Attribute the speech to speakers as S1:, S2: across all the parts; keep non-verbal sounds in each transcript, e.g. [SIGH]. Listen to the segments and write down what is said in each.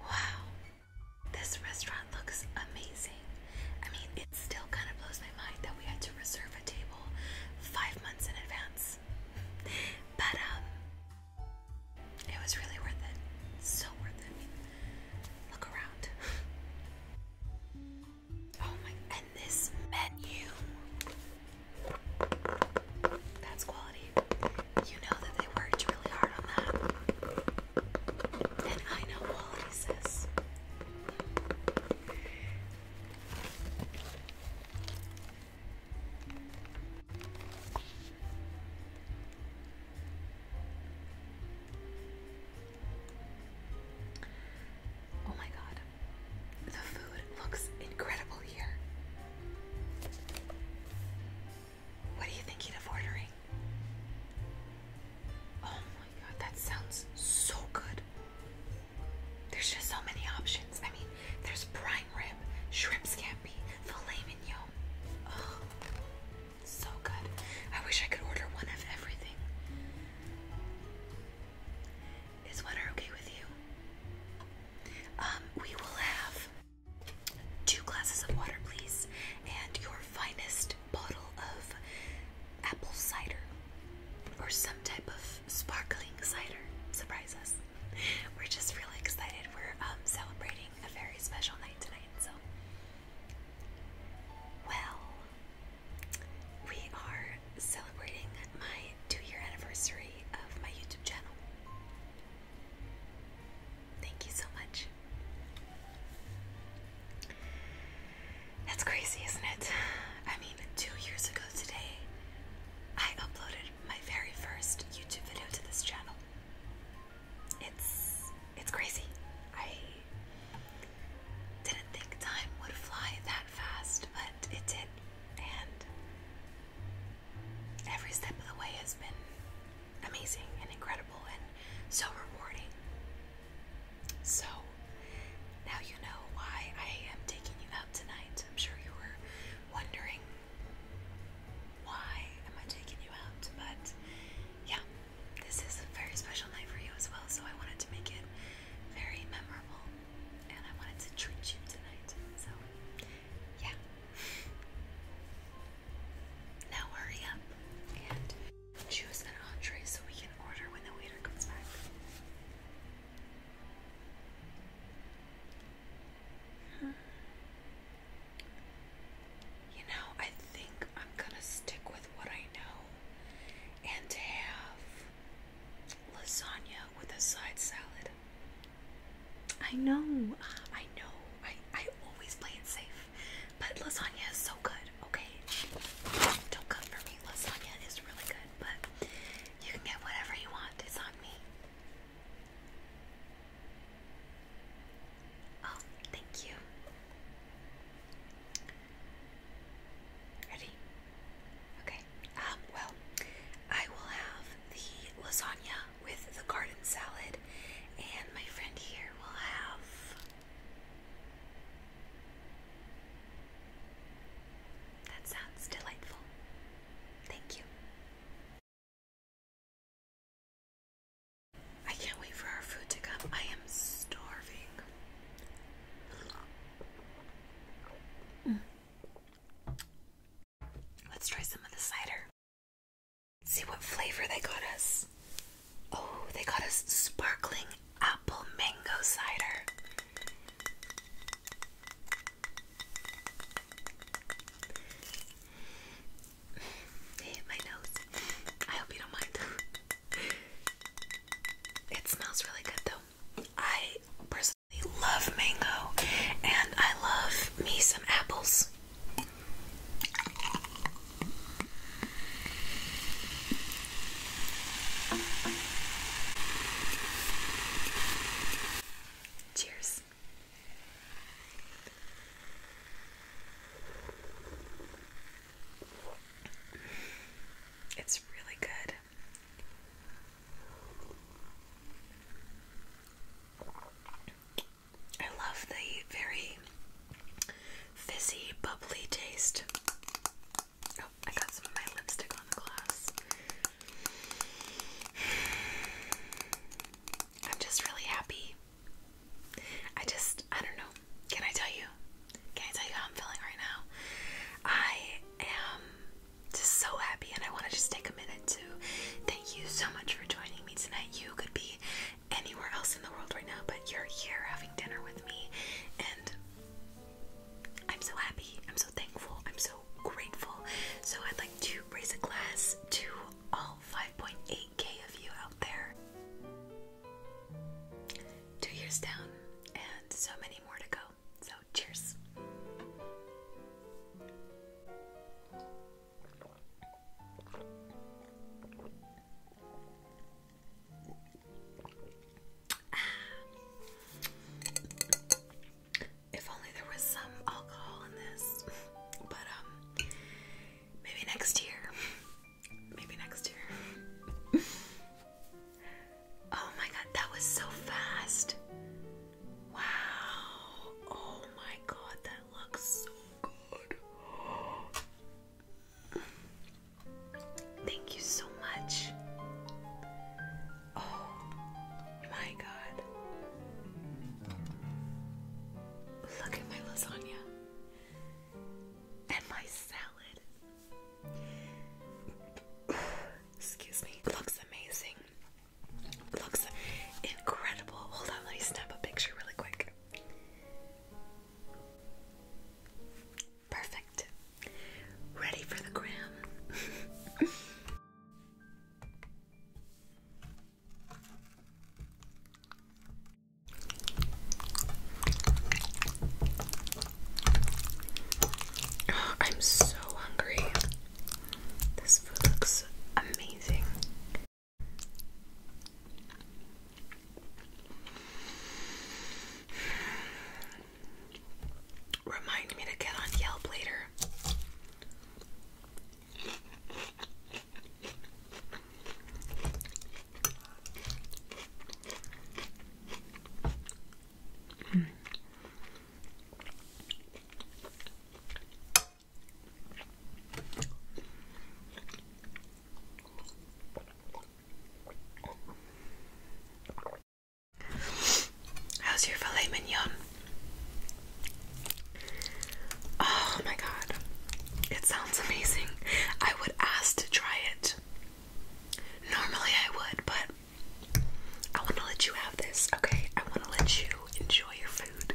S1: Wow, this restaurant looks amazing. I mean, it still kind of blows my mind that we had to reserve a table five months in advance. [LAUGHS] but, um, it was really worth it. So worth it. Look around. [LAUGHS] Oh my, and this menu. That's quality. You know that they worked really hard on that. And I know quality, sis. Oh my god. The food looks incredible here. What are you thinking of ordering? Oh my god, that sounds so good. There's just so many options. I mean, there's prime rib, shrimp scampi, filet mignon. Oh, so good. I wish I could order one of everything. Is water okay with you? Um, we will have two glasses of water, please, and your finest bottle of apple cider or some type of sparkling cider. Surprise us. We're just really excited. We're um, celebrating a very special night tonight, so. Well, we are celebrating my two year anniversary of my YouTube channel. Thank you so much. That's crazy, isn't it? I mean, two years ago today, I uploaded my very first YouTube video to this channel. It's it's crazy. I didn't think time would fly that fast, but it did. And every step of the way has been amazing and incredible and so rewarding. So now you know why I am taking you out tonight. I'm sure you were wondering why am I taking you out, but yeah, this is a very special night for you as well, so I wanted to make it very memorable and I wanted to treat you tonight. So, yeah. Now hurry up and choose an entree so we can order when the waiter comes back. Hmm. You know, I think I'm gonna stick with what I know and have lasagna with a side salad.
S2: I know, I know.
S1: I I always play it safe, but lasagna is so good. Okay, don't come for me. Lasagna is really good, but you can get whatever you want. It's on me. Oh, thank you. Ready? Okay. Um, well, I will have the lasagna with the garden salad, and my friend here will have. That sounds delightful. Thank you. I can't wait for our food to come. I am starving. Mm. Let's try some of the cider. see what flavor they got us. Oh, they got us sparkling apple mango cider. hit my nose. I hope you don't mind. [LAUGHS] it smells really good though. I personally absolutely love mango and I love me some apples. Cheers. It's really good. I love the very fizzy, bubbly taste. Oh, I got some of my lipstick on the glass. I'm just really happy. I just, I don't know. Can I tell you? Can I tell you how I'm feeling right now? I am just so happy, and I want to just take a minute to thank you so much for joining me tonight. You could be anywhere else in the world right now, but you're here having dinner with me, and I'm so happy, I'm so thankful, I'm so grateful. So, I'd like to raise a glass to all 5.8k of you out there. Two years down, and so many more to go. So, cheers. Ah. If only there was some alcohol in this, [LAUGHS] but um, maybe next year. [LAUGHS] Maybe next year. [LAUGHS] Oh my god, that was so fast. Wow. Oh my god, that looks so good. Thank you so much. Oh my god. Look at my lasagna and my salad. Excuse me. Looks amazing. Looks incredible. Hold on, let me snap a picture really quick. Perfect. Ready for the gram. [LAUGHS] I'm so hungry. This food looks amazing. Remind me to get on Yelp later. How's your filet mignon? Oh my god, it sounds amazing. I would ask to try it. Normally I would, but I want to let you have this, okay? I want to let you enjoy your food.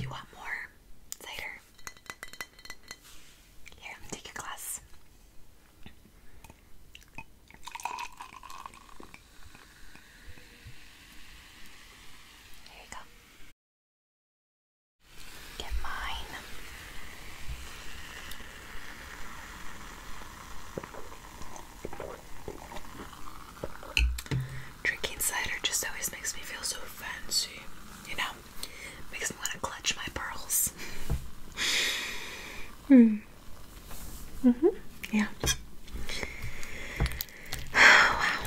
S1: you want more cider? Here, let me take your glass. Here you go. Get mine. Drinking cider just always makes me feel so fancy, you know? Makes me want to clutch my pearls.
S2: hmm. Mm-hmm. Yeah. [SIGHS] wow.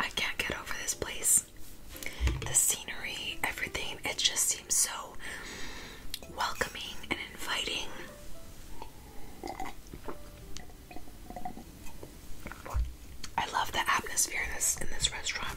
S1: I can't get over this place. The scenery, everything, it just seems so welcoming and inviting. I love the atmosphere in this in this restaurant.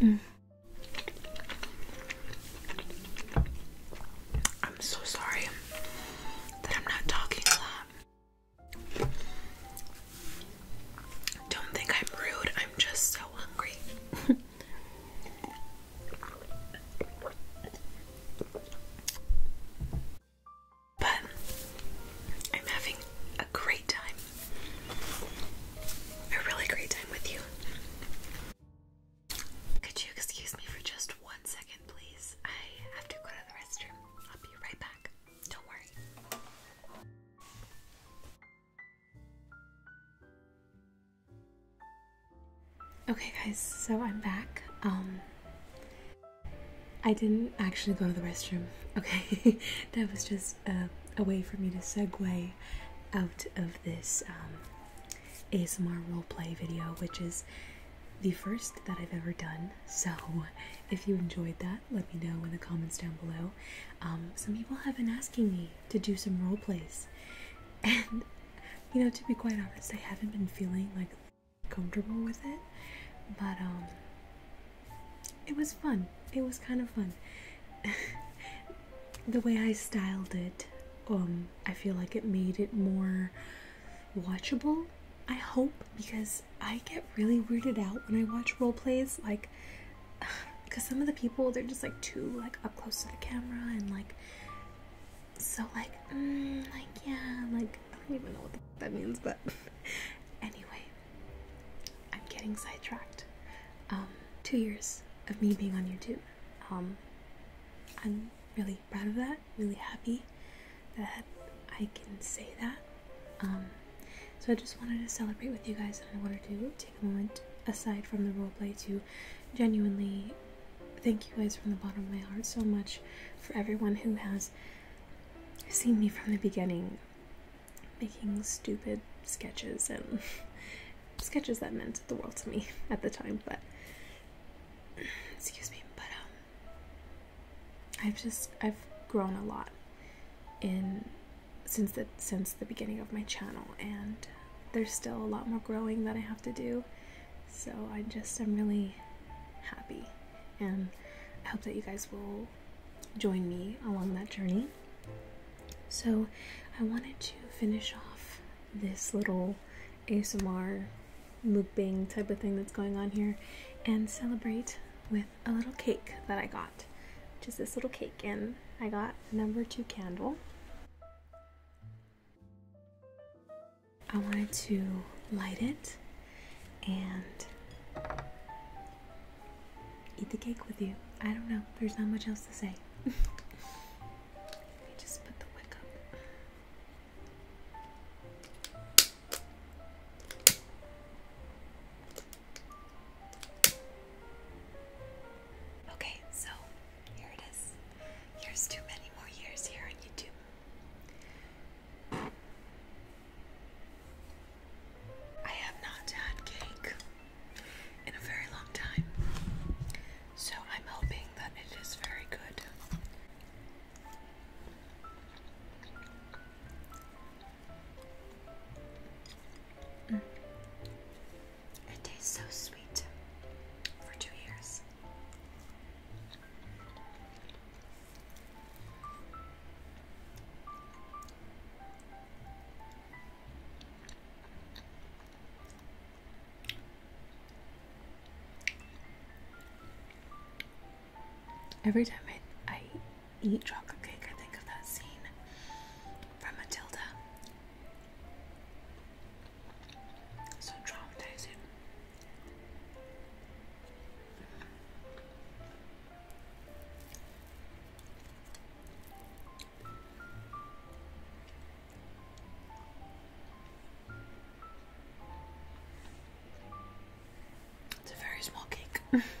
S1: Mm. I'm so sorry that I'm not talking a lot. Don't think I'm rude, I'm just so hungry. [LAUGHS] But I'm having a great time. A really great time with you. Could you excuse me for just one second, please? I have to go to the restroom. I'll be right back. Don't worry.
S2: Okay, guys, so I'm back. Um, I didn't actually go to the restroom, okay? [LAUGHS] that was just a way for me to segue out of this um, ASMR roleplay video, which is the first that I've ever done. So if you enjoyed that, let me know in the comments down below. Um, some people have been asking me to do some role plays, [LAUGHS] and you know to be quite honest i haven't been feeling like comfortable with it but um it was fun it was kind of fun [LAUGHS] the way i styled it um i feel like it made it more watchable i hope because i get really weirded out when i watch role plays like because [SIGHS] some of the people they're just like too like up close to the camera and like so like mm, like yeah like i don't even know what that means but [LAUGHS] anyway i'm getting sidetracked um two years of me being on youtube um i'm really proud of that really happy that i can say that um so i just wanted to celebrate with you guys and i wanted to take a moment aside from the roleplay to genuinely Thank you guys from the bottom of my heart so much for everyone who has seen me from the beginning making stupid sketches and [LAUGHS] sketches that meant the world to me at the time, but
S1: excuse me, but um
S2: I've just I've grown a lot in since the since the beginning of my channel and there's still a lot more growing that I have to do. So I just am really happy and I hope that you guys will join me along that journey. So I wanted to finish off this little ASMR mukbang type of thing that's going on here and celebrate with a little cake that I got. Which is this little cake and I got number two candle. I wanted to light it and eat the cake with you. I don't know, there's not much else to say. [LAUGHS] Let me just put the wick
S1: up. Okay, so here it is. Here's too many more years here on YouTube. I have not had cake in a very long time, so I'm hoping that it is very good. Mm. It tastes so sweet for two years.
S2: Every time I, I eat chocolate cake, I think of that scene from Matilda so traumatizing. It's a very small cake. [LAUGHS]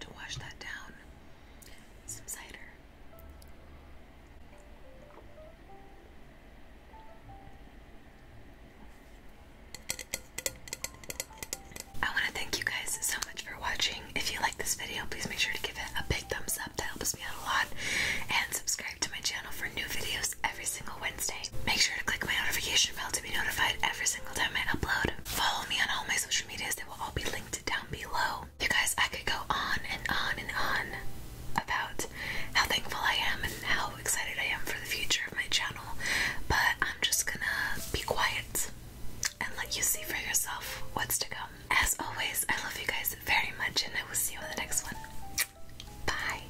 S1: To wash that down, some cider. I want to thank you guys so much for watching. If you like this video, please make sure to give it a big thumbs up. That helps me out a lot. And subscribe to my channel for new videos every single Wednesday. Make sure to click my notification bell to be notified every single time I upload. Follow me on all my social medias, they will all be linked down below. You guys, I could go on and on and on about how thankful I am and how excited I am for the future of my channel, but I'm just gonna be quiet and let you see for yourself what's to come. As always, I love you guys very much, and I will see you in the next one. Bye.